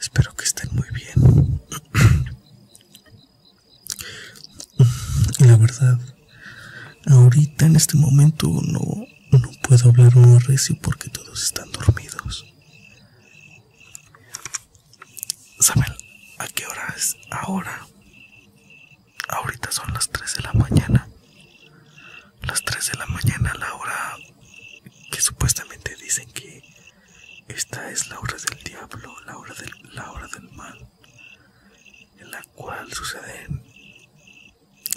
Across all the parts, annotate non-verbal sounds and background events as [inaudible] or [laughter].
Espero que estén muy bien. La verdad, ahorita en este momento no, puedo hablar un recio porque todos están dormidos. ¿Saben a qué hora es ahora? Ahorita son las 3 de la mañana. Las 3 de la mañana, la hora que supuestamente dicen que esta es la hora del diablo, la hora del, la hora del mal, en la cual suceden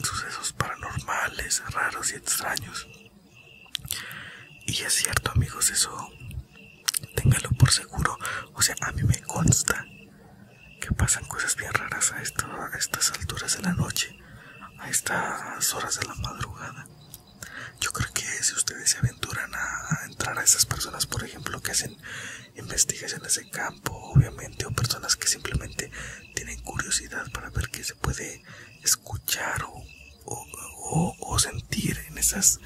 sucesos paranormales, raros y extraños. Y es cierto amigos, eso téngalo por seguro. O sea, a mí me consta que pasan cosas bien raras a estas alturas de la noche a estas horas de la madrugada. Yo creo que si ustedes se aventuran a, entrar a esas personas, por ejemplo, que hacen investigaciones de campo, obviamente, o personas que simplemente tienen curiosidad para ver qué se puede escuchar o, sentir en esas,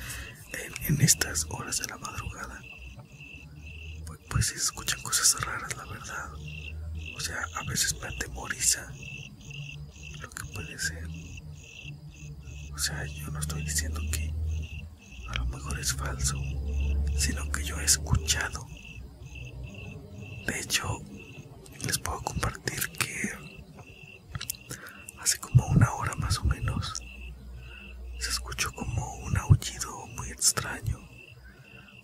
estas horas de la madrugada, pues, si pues se escuchan cosas raras, la verdad. O sea, a veces me atemoriza lo que puede ser. O sea, yo no estoy diciendo que a lo mejor es falso, sino que yo he escuchado. De hecho, les puedo compartir que hace como una hora más o menos se escuchó como un aullido muy extraño,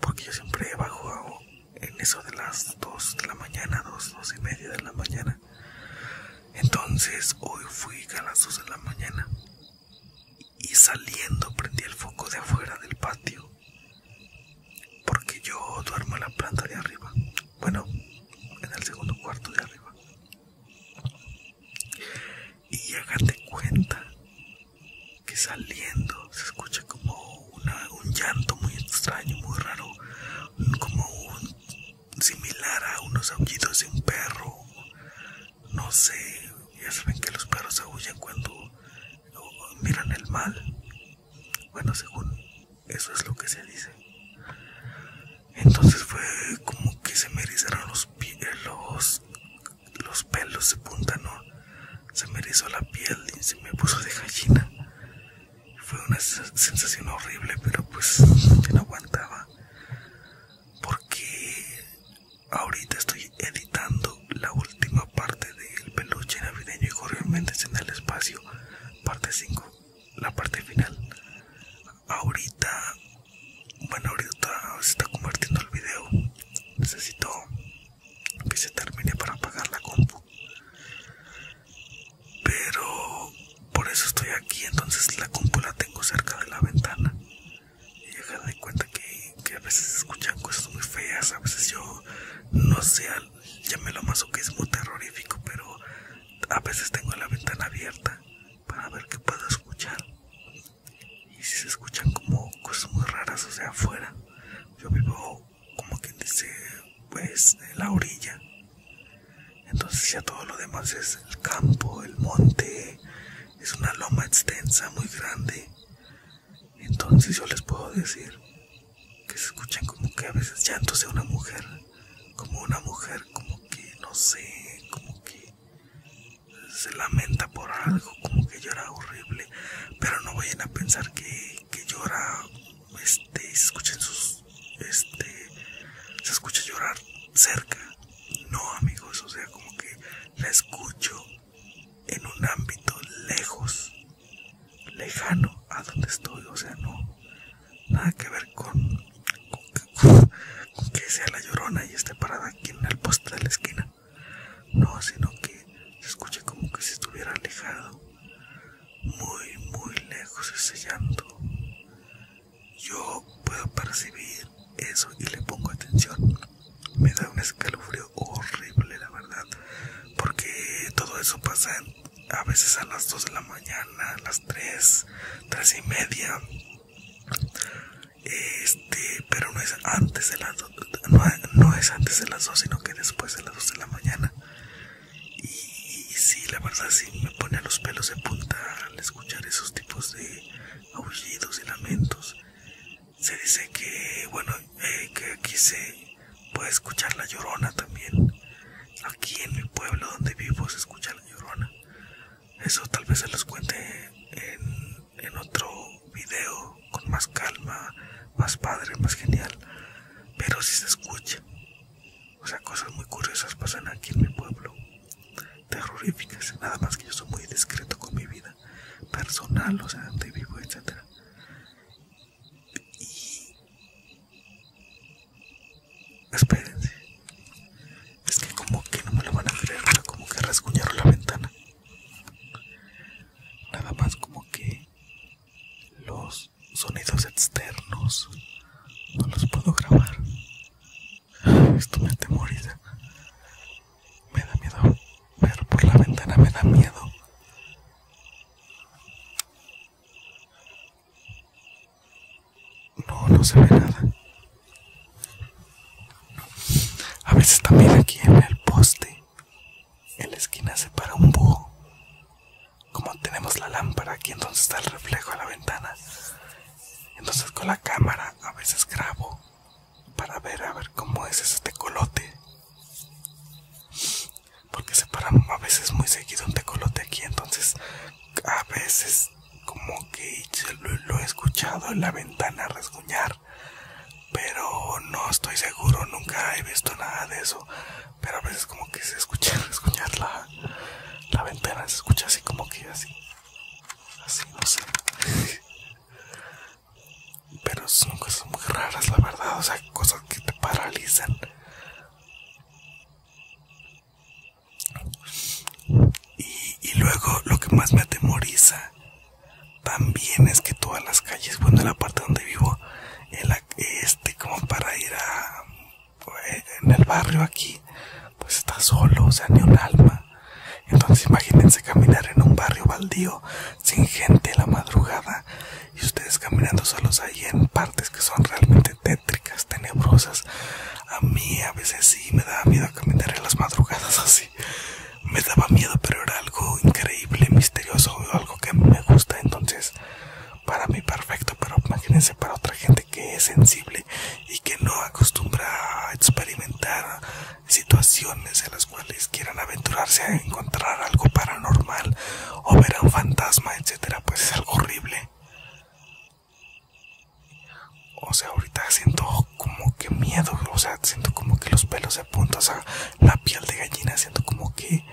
porque yo siempre bajo en eso de las 2 de la mañana, 2, 2 y media de la mañana. Entonces hoy fui a las 2 de la mañana y saliendo prendí el foco de afuera del patio porque yo duermo en la planta de arriba, bueno, en el segundo cuarto de arriba. Y hágate cuenta que saliendo se escucha como un llanto muy extraño, muy raro, como un, similar a unos aullidos de un perro. No sé, ya saben que los perros aullan cuando miran el mal. Bueno, según eso es lo que se dice. Entonces fue como que se me erizaron los, los los pelos se punta, Se me erizó la piel y se me puso de gallina. Fue una sensación horrible, pero pues no aguantaba. Porque ahorita estoy editando la última parte del peluche navideño y realmente en el espacio, parte 5, la parte final. Ahorita bueno, ahorita se está convirtiendo el video. Necesito que se termine para apagar la compu. Pero por eso estoy aquí, entonces la compu la tengo cerca de la ventana. Y me de cuenta que, a veces escuchan cosas muy feas, a veces yo no sé, llámelo muy terrorífico, pero a veces tengo la ventana abierta para ver qué puedo escuchar y si se escuchan como cosas muy raras, o sea, afuera. Yo vivo como quien dice, pues, en la orilla. Entonces ya todo lo demás es el campo, el monte, es una loma extensa, muy grande. Entonces yo les puedo decir que se escuchan como que a veces llantos de una mujer, como una mujer, como que no sé, como que se lamenta por algo, como que llora horrible, pero no vayan a pensar que, llora, este, escuchen sus, este, se escucha llorar cerca, no amigos, o sea, como que la escucho en un ámbito lejos, lejano a donde estoy, o sea, no, nada que ver con con que sea la llorona y esté parada aquí en el poste de la esquina. No, sino que se escuche como que se estuviera alejado, muy, muy lejos ese llanto. Yo puedo percibir eso y le pongo atención. Me da un escalofrío horrible, la verdad, porque todo eso pasa a veces a las 2 de la mañana, a las 3, 3 y media. Este, pero no es antes de las 2, no, es antes de sino que después de las 2 de la mañana. Y, sí, la verdad sí me pone los pelos de punta al escuchar esos tipos de aullidos y lamentos. Se dice que, bueno, eh, que aquí se puede escuchar la llorona también. Aquí en mi pueblo donde vivo se escucha la llorona. Eso tal vez se los cuente en, otro video con más calma, más padre, más genial. Pero si se escucha. O sea, cosas muy curiosas pasan aquí en mi pueblo. Terroríficas. Nada más que yo soy muy discreto con mi vida personal, o sea, donde vivo, etc. Espérense. Es que como que no me lo van a creer, como que rasguñaron la ventana. Nada más como que los sonidos externos no los puedo grabar. Esto me atemoriza. Me da miedo ver por la ventana, me da miedo. No, no se ve nada. A veces también aquí en el poste, en la esquina se para un búho. Como tenemos la lámpara aquí, entonces está el reflejo a la ventana. Entonces con la cámara a veces grabo para ver a ver cómo es este colote porque se paran a veces muy seguido un tecolote aquí, entonces a veces como que lo, he escuchado en la ventana resguñar, pero no estoy seguro, nunca he visto nada de eso, pero a veces como que se escucha [laughs] resguñar la, la ventana, se escucha así como que así, así, no sé. [laughs] Pero son cosas muy raras, la verdad, o sea, cosas que te paralizan y, luego lo que más me atemoriza también es que todas las calles, bueno, en la parte donde vivo, este, como para ir a, en el barrio aquí, pues está solo, o sea, ni un alma. Entonces imagínense caminar en un barrio baldío sin gente en la madrugada y ustedes caminando solos ahí en partes que son realmente tétricas, tenebrosas. A mí a veces sí me daba miedo caminar en las madrugadas [laughs] así. Me daba miedo, pero era algo increíble, misterioso, algo que me gusta. Entonces, para mí perfecto, pero imagínense para otra gente que es sensible y que no acostumbra a experimentar situaciones de en las cuales quieran aventurarse a encontrar algo paranormal o ver a un fantasma, etcétera, pues es algo horrible. O sea, ahorita siento como que miedo, o sea, siento como que los pelos se apuntan, o la piel de gallina, siento como que,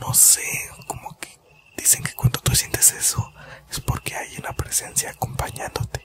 no sé, como que dicen que cuando tú sientes eso es porque hay una presencia acompañándote.